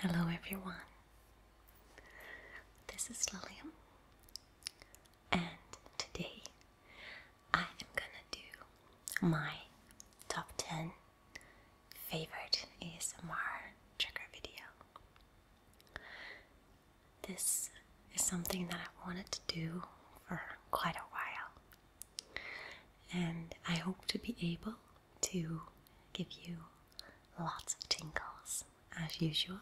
Hello, everyone. This is Lillian, and today I am gonna do my top 10 favorite ASMR trigger video. This is something that I wanted to do for quite a while, and I hope to be able to give you lots of tingles as usual.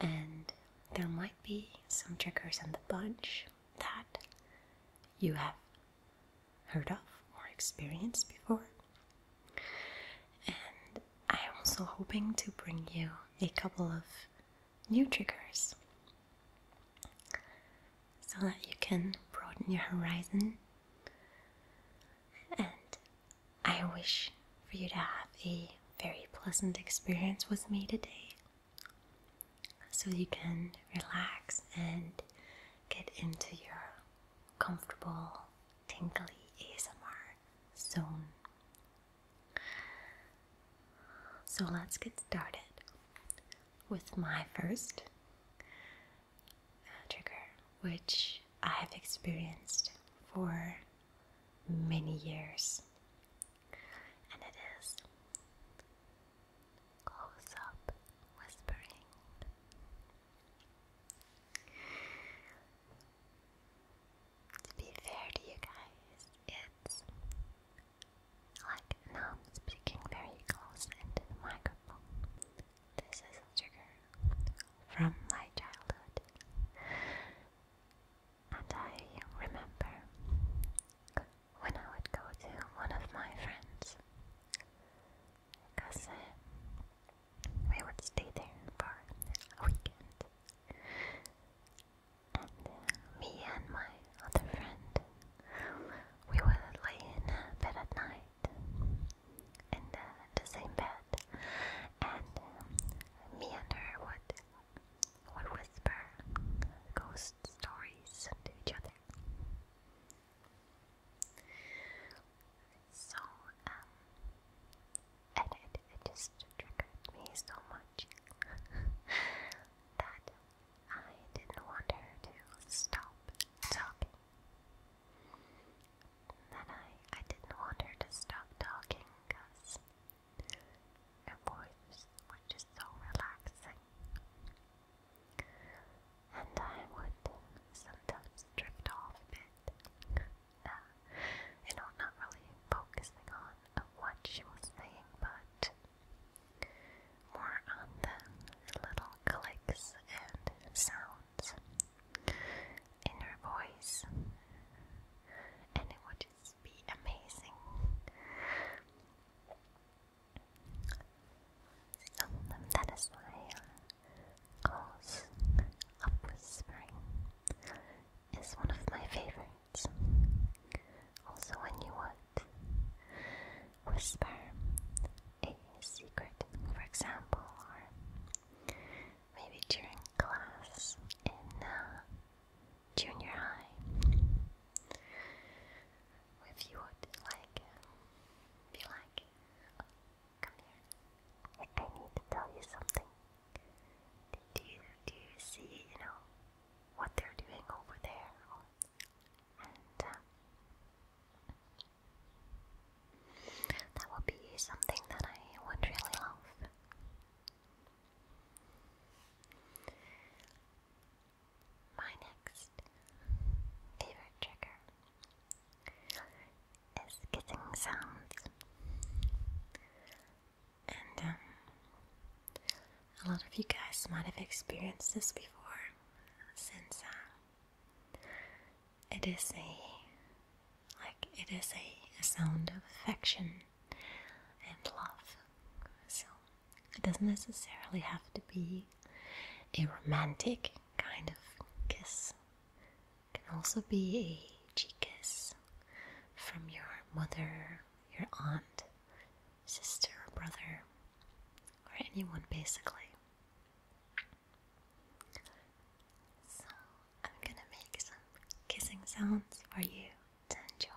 And there might be some triggers in the bunch that you have heard of or experienced before. And I'm also hoping to bring you a couple of new triggers so that you can broaden your horizon. And I wish for you to have a very pleasant experience with me today so you can relax and get into your comfortable, tingly ASMR zone. So let's get started with my first uh, trigger, which I have experienced for many years, and it is close up whispering. To be fair to you guys, it's like now I'm speaking very close into the microphone. This is a trigger from my childhood. And I remember when I would go to one of my friends because uh, we would stay there for a weekend. And uh, me and my other friend we would lay in bed at night in the, same bed, and um, me and her would would whisper ghost stories to each other. So, um, and it, it just triggered me so much that I didn't want her to stop talking. Then I, I didn't want her to stop talking because her voice was just so relaxing. And I would sometimes drift off a bit. Uh, you know, not really focusing on what she was saying, but more on the little clicks and sounds in her voice, and it would just be amazing. that is why calls uh, of whispering is one of my favorites. Also, when you would whisper a secret, for example, or maybe during class in uh, junior high. If you would like, be like, come here, I, need to tell you something. Do you, do you see, you know, what they're doing over there? Um, that would be something that I would really love. My next favorite trigger is kissing sounds, and um, a lot of you guys might have experienced this before, since um, it is a like it is a, a sound of affection and love. So it doesn't necessarily have to be a romantic kind of kiss. It can also be a cheek kiss from your mother, your aunt, sister, or brother, or anyone basically. So, I'm gonna make some kissing sounds for you to enjoy.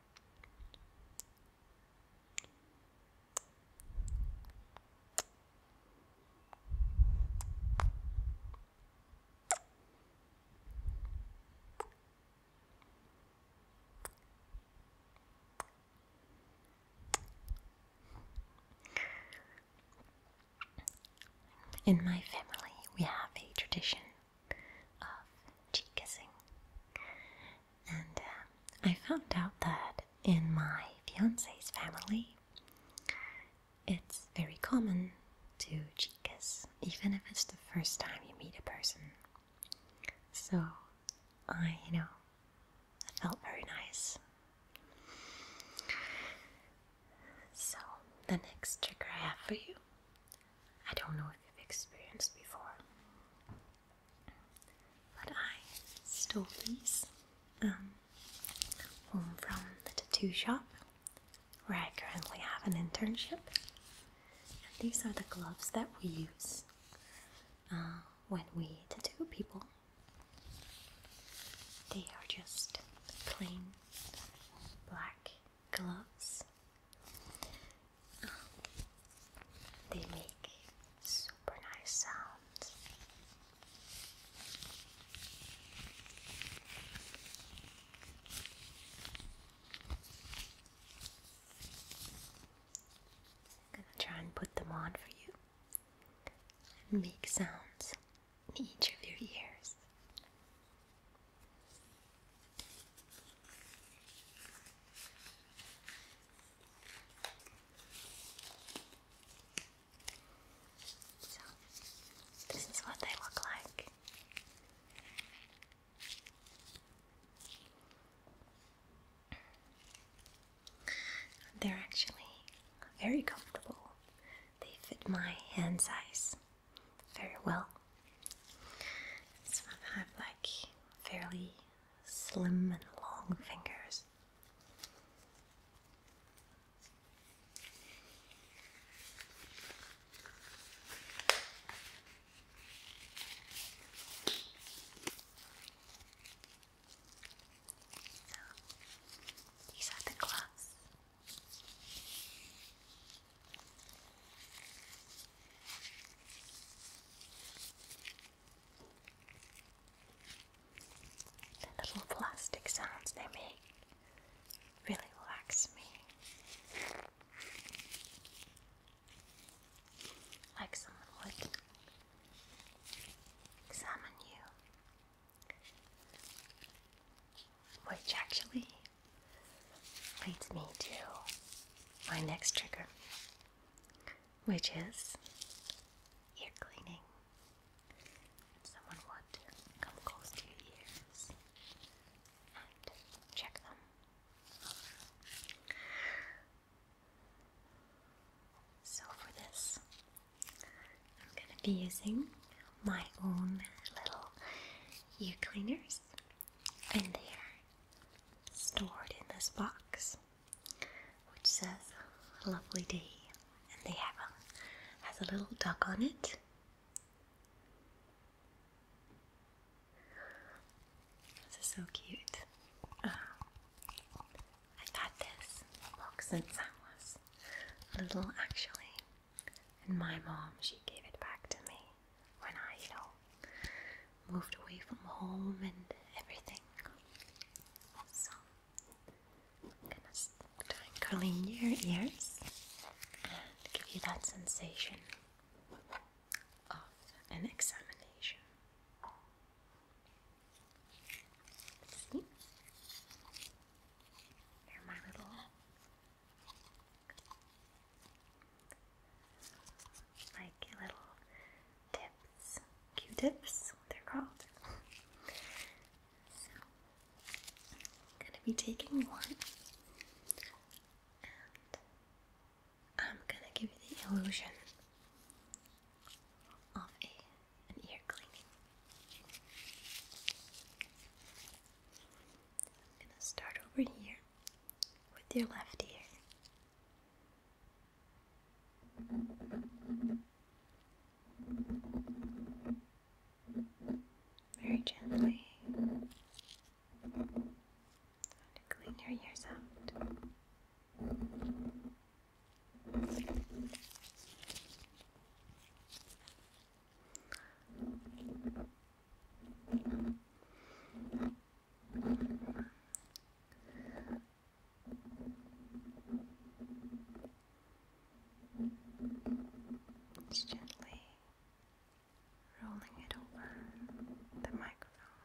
In my family, we have a tradition of cheek kissing. And um, I found out that in my fiance's family, it's very common to cheek kiss, even if it's the first time you meet a person. So I, you know, it felt very nice. So the next trick I have for you I don't know if you've experienced before. But I stole these um, home from the tattoo shop where I currently have an internship. And these are the gloves that we use uh, when we tattoo people. They are just plain black gloves. They make super nice sounds. I'm gonna try and put them on for you and make sounds in each of your ears this is what they look like. They're actually very comfortable. They fit my hand size very well. Some of have like fairly slim and long fingers. So, these are the gloves. The little plastic sounds they make really relax me. Like someone would examine you, which actually leads me to my next trigger, which is ear cleaning. someone want to come close to your ears and check them. So for this, I'm going to be using my own little ear cleaners and they are stored in this box which says lovely day and they have a has a little duck on it this is so cute um, I got this box since I was little actually and my mom she gave it back to me when I, you know, moved away from home and everything. So, I'm going curling your ears and give you that sensation of an examination. See? They're my little like little tips, Q-tips, they're called. So I'm gonna be taking one, and I'm gonna give you the illusion of a ear cleaning. gonna start over here with your left ear. Very gently. To clean your ears out. It's gently rolling it over the microphone.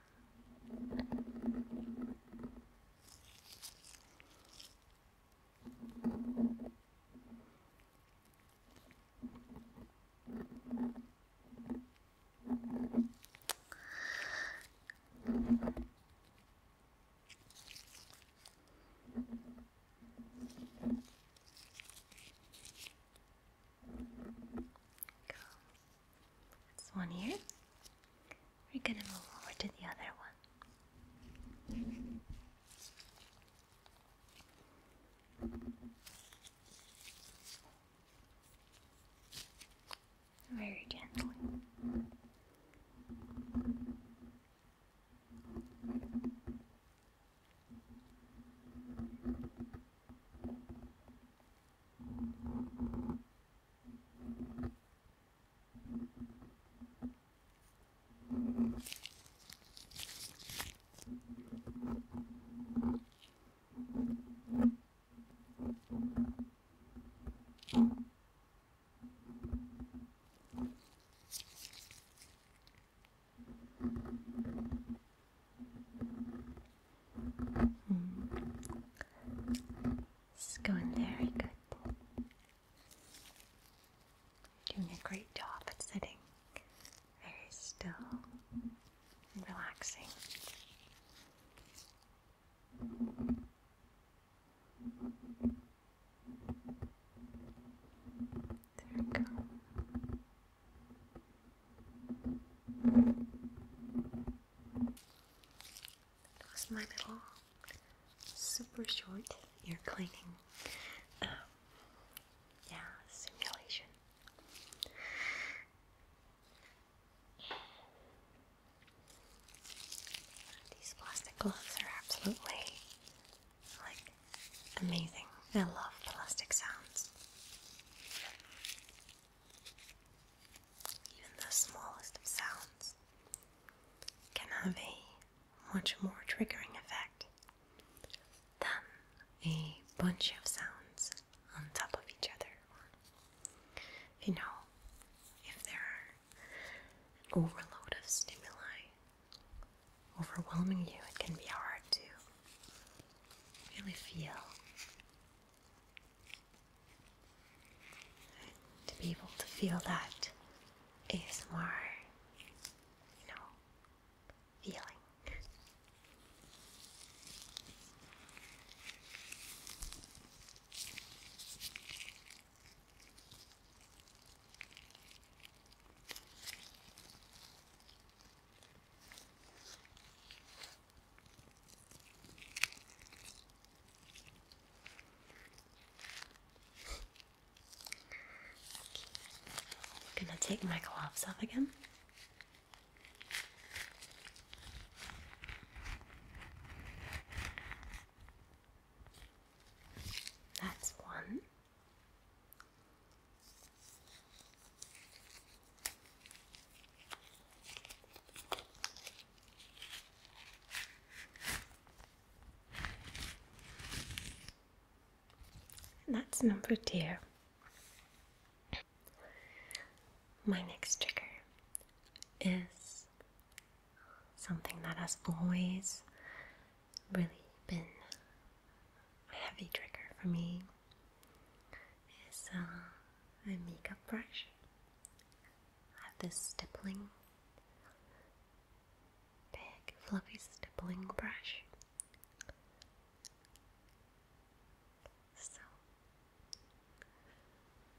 This one here. We're gonna move over to the other one. Very gently. Hmm. It's going very good. Doing a great job at sitting very still and relaxing. There we go. That was my little super short ear cleaning. Um, yeah, simulation these plastic gloves are absolutely like amazing. I love plastic sounds. Even the smallest of sounds can have a much more triggering effect then a bunch of sounds on top of each other. You know, if there are an overload of stimuli overwhelming you, it can be hard to really feel. to be able to feel that ASMR, you know, feeling. I'm gonna take my gloves off again. That's one. And that's number two. My next trigger is something that has always really been a heavy trigger for me. Is uh, a makeup brush. I have this stippling big fluffy stippling brush. So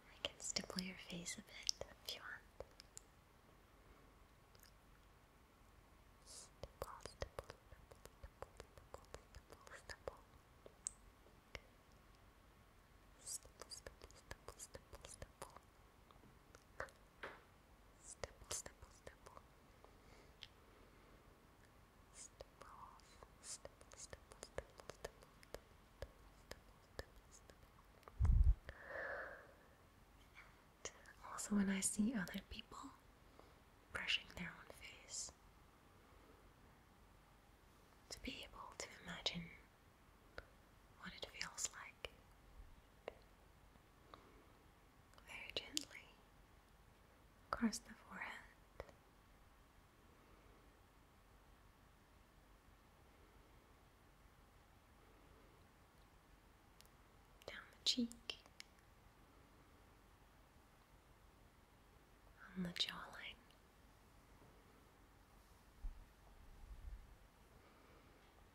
I can stipple your face a bit if you want. Stipple, stipple, stipple, stipple, stipple, stipple, stipple, stipple, stipple, stipple, stipple. Stipple, stipple, stipple. Stipple off. Stipple, also when I see other people brushing their own face, to be able to imagine what it feels like very gently across the forehead. Down the cheek, on the jawline,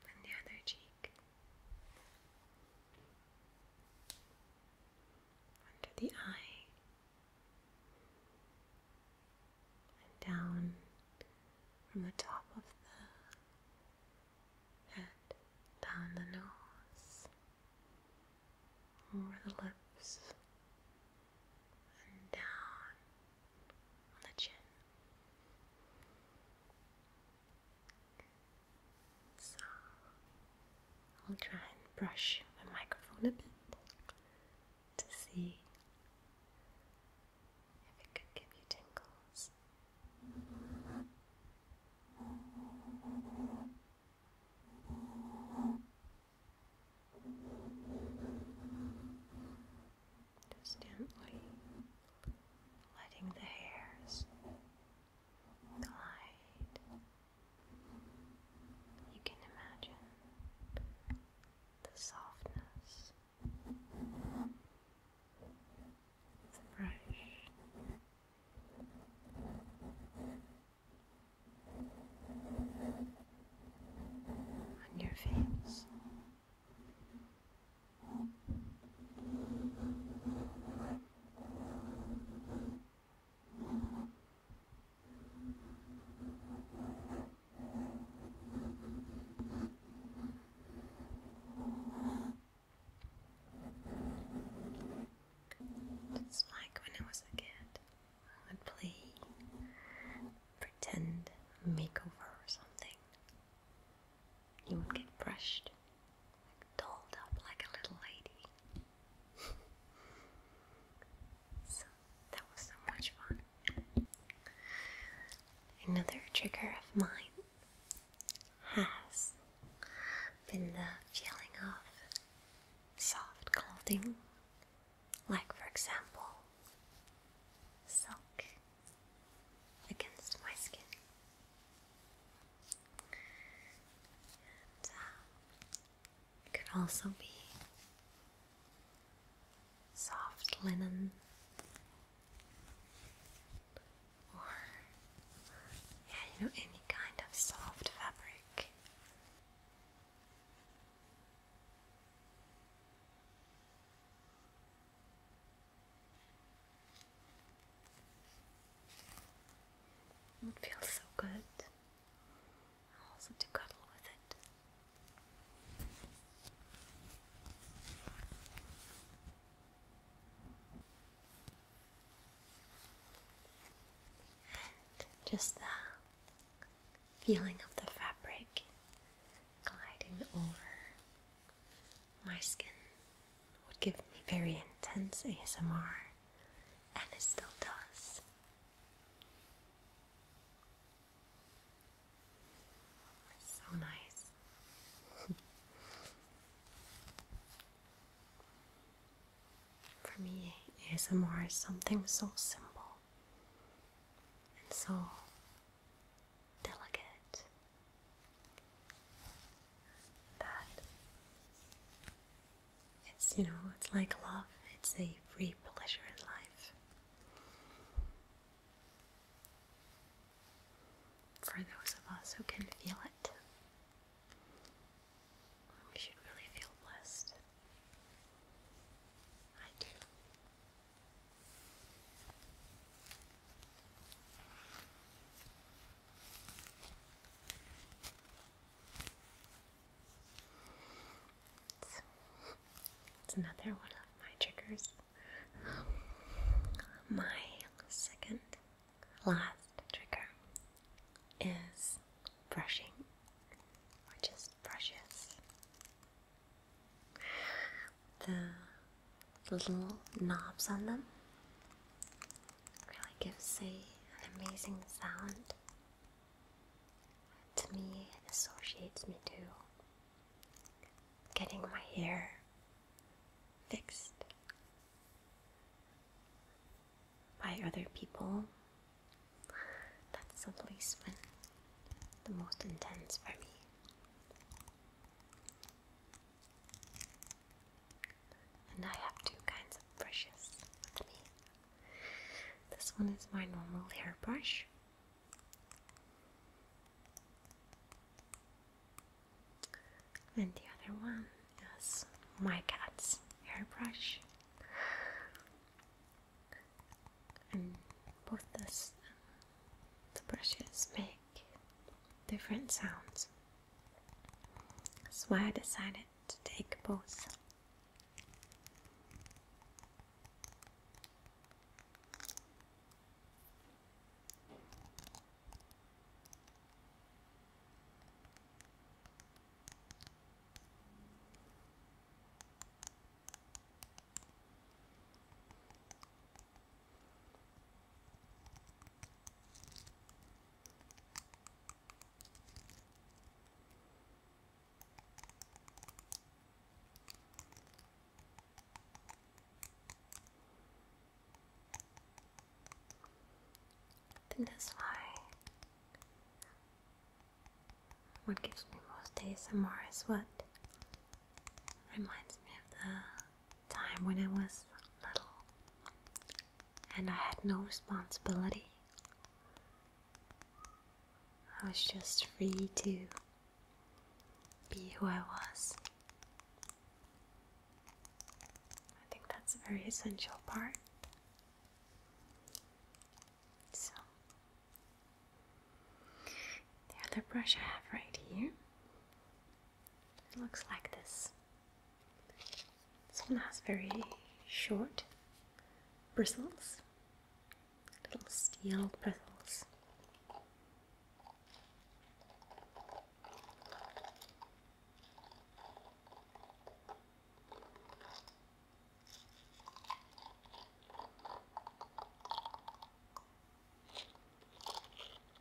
and the other cheek, under the eye, and down from the top of the head, down the nose, over the lips, and down on the chin. So I'll try and brush the microphone a bit to see if it could give you tingles. Just letting the hairs the light. You can imagine the softness, the brush. On your face, it's like when I was a kid, I would play pretend makeover or something. You would get brushed, like, up like a little lady. so that was so much fun. Another trigger of mine has been the feeling of soft clothing, like, for example, silk against my skin. Uh, it can also be soft linen or, yeah, you know, any kind of soft fabric. It would so good also to cuddle with it. just the feeling of the fabric gliding over my skin would give me very intense ASMR, and it still does. so nice. For me, ASMR is something so simple and so delicate that it's you know it's like love it's a free pleasure in life for those of us who can feel it we should really feel blessed I do so, it's another one of my triggers. My second last trigger is brushing, or just brushes. The little knobs on them. Really gives a, an amazing sound. To me, it associates me to getting my hair fixed by other people. That's the place when the most intense for me. And I have two kinds of brushes with me. This one is my normal hairbrush. And the other one is my cat's hairbrush. And both this brushes make different sounds. That's why I decided to take both that's why what gives me most days ASMR is what reminds me of the time when I was little and I had no responsibility. I was just free to be who I was. I think that's a very essential part. So, the other brush I have right here it looks like this. This one has very short bristles, little steel bristles.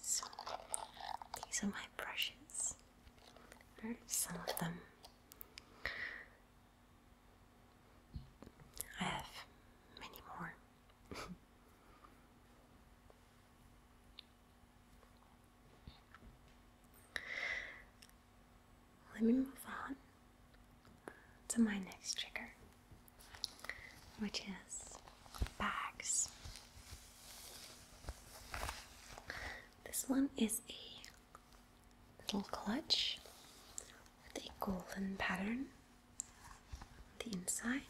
So these are my brushes, or some of them. I have many more. Let me move on to my next trigger, which is bags. This one is a little clutch with a golden pattern the inside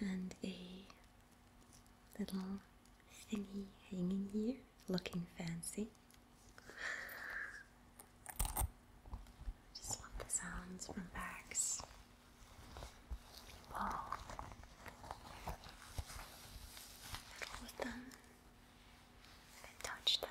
and a little thingy hanging here looking fancy. Just love the sounds from bags. People fiddle with them touch them.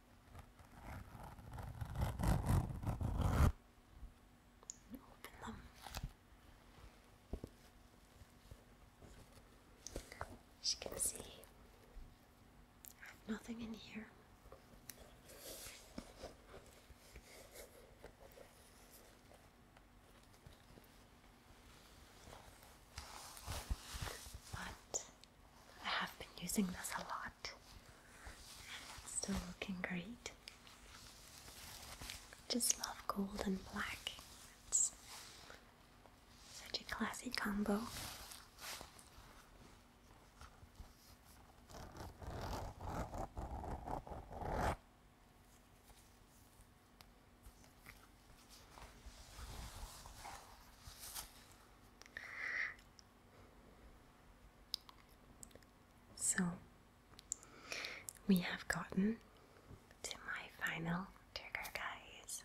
As you can see, I have nothing in here. But I have been using this a lot. It's still looking great. Just love gold and black. It's such a classy combo. So we have gotten to my final trigger, guys.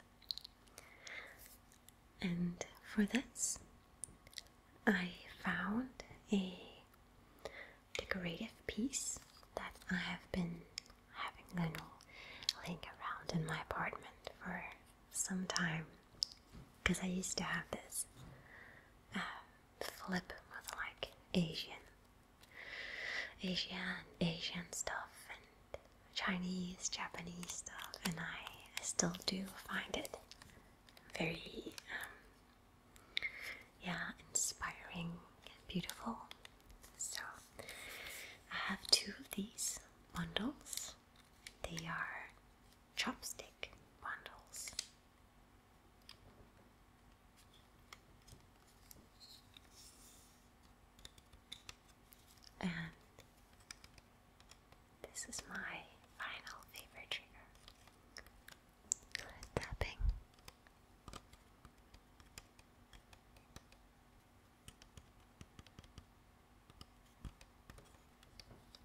And for this, I found a decorative piece that I have been having a little link around in my apartment for Sometimes, because I used to have this uh, flip with like Asian, Asian, Asian stuff and Chinese, Japanese stuff, and I, I still do find it very, um, yeah, inspiring beautiful. So I have two of these bundles they are chopstick bundles. And this is my final favorite trigger tapping.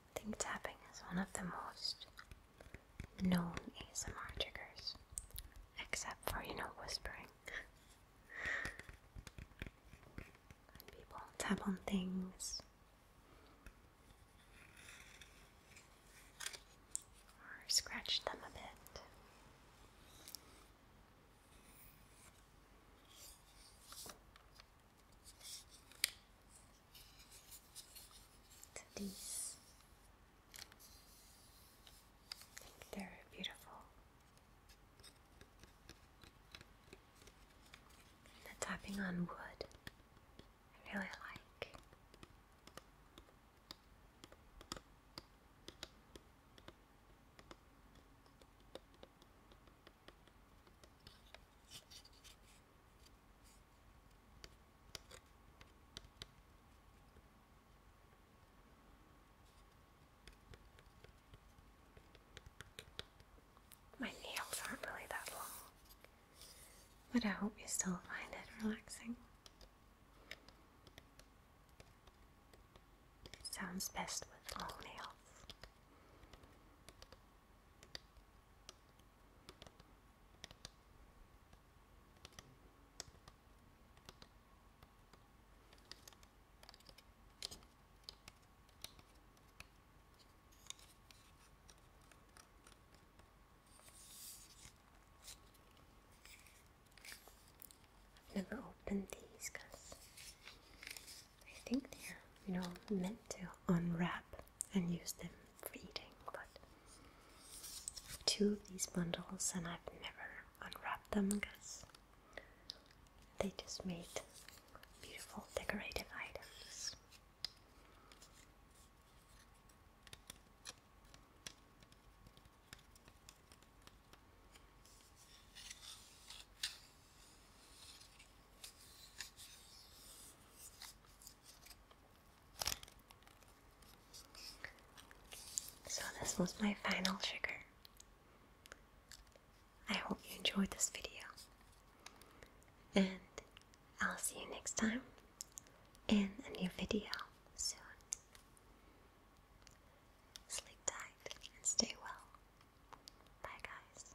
I think tapping is one of the most known ASMR triggers, except for, you know, whispering. people tap on things, or scratch them a bit these, they're beautiful. The tapping on wood, I really like. My nails aren't really that long, but I hope you still find it relaxing. sounds best with long nails. I've never opened these because I think they're, you know, meant to unwrap and use them for but two of these bundles, and I've never unwrapped them because they just made beautiful decorative items. So this was my final trigger. I hope you enjoyed this video. And I'll see you next time in a new video soon. Sleep tight and stay well. Bye guys.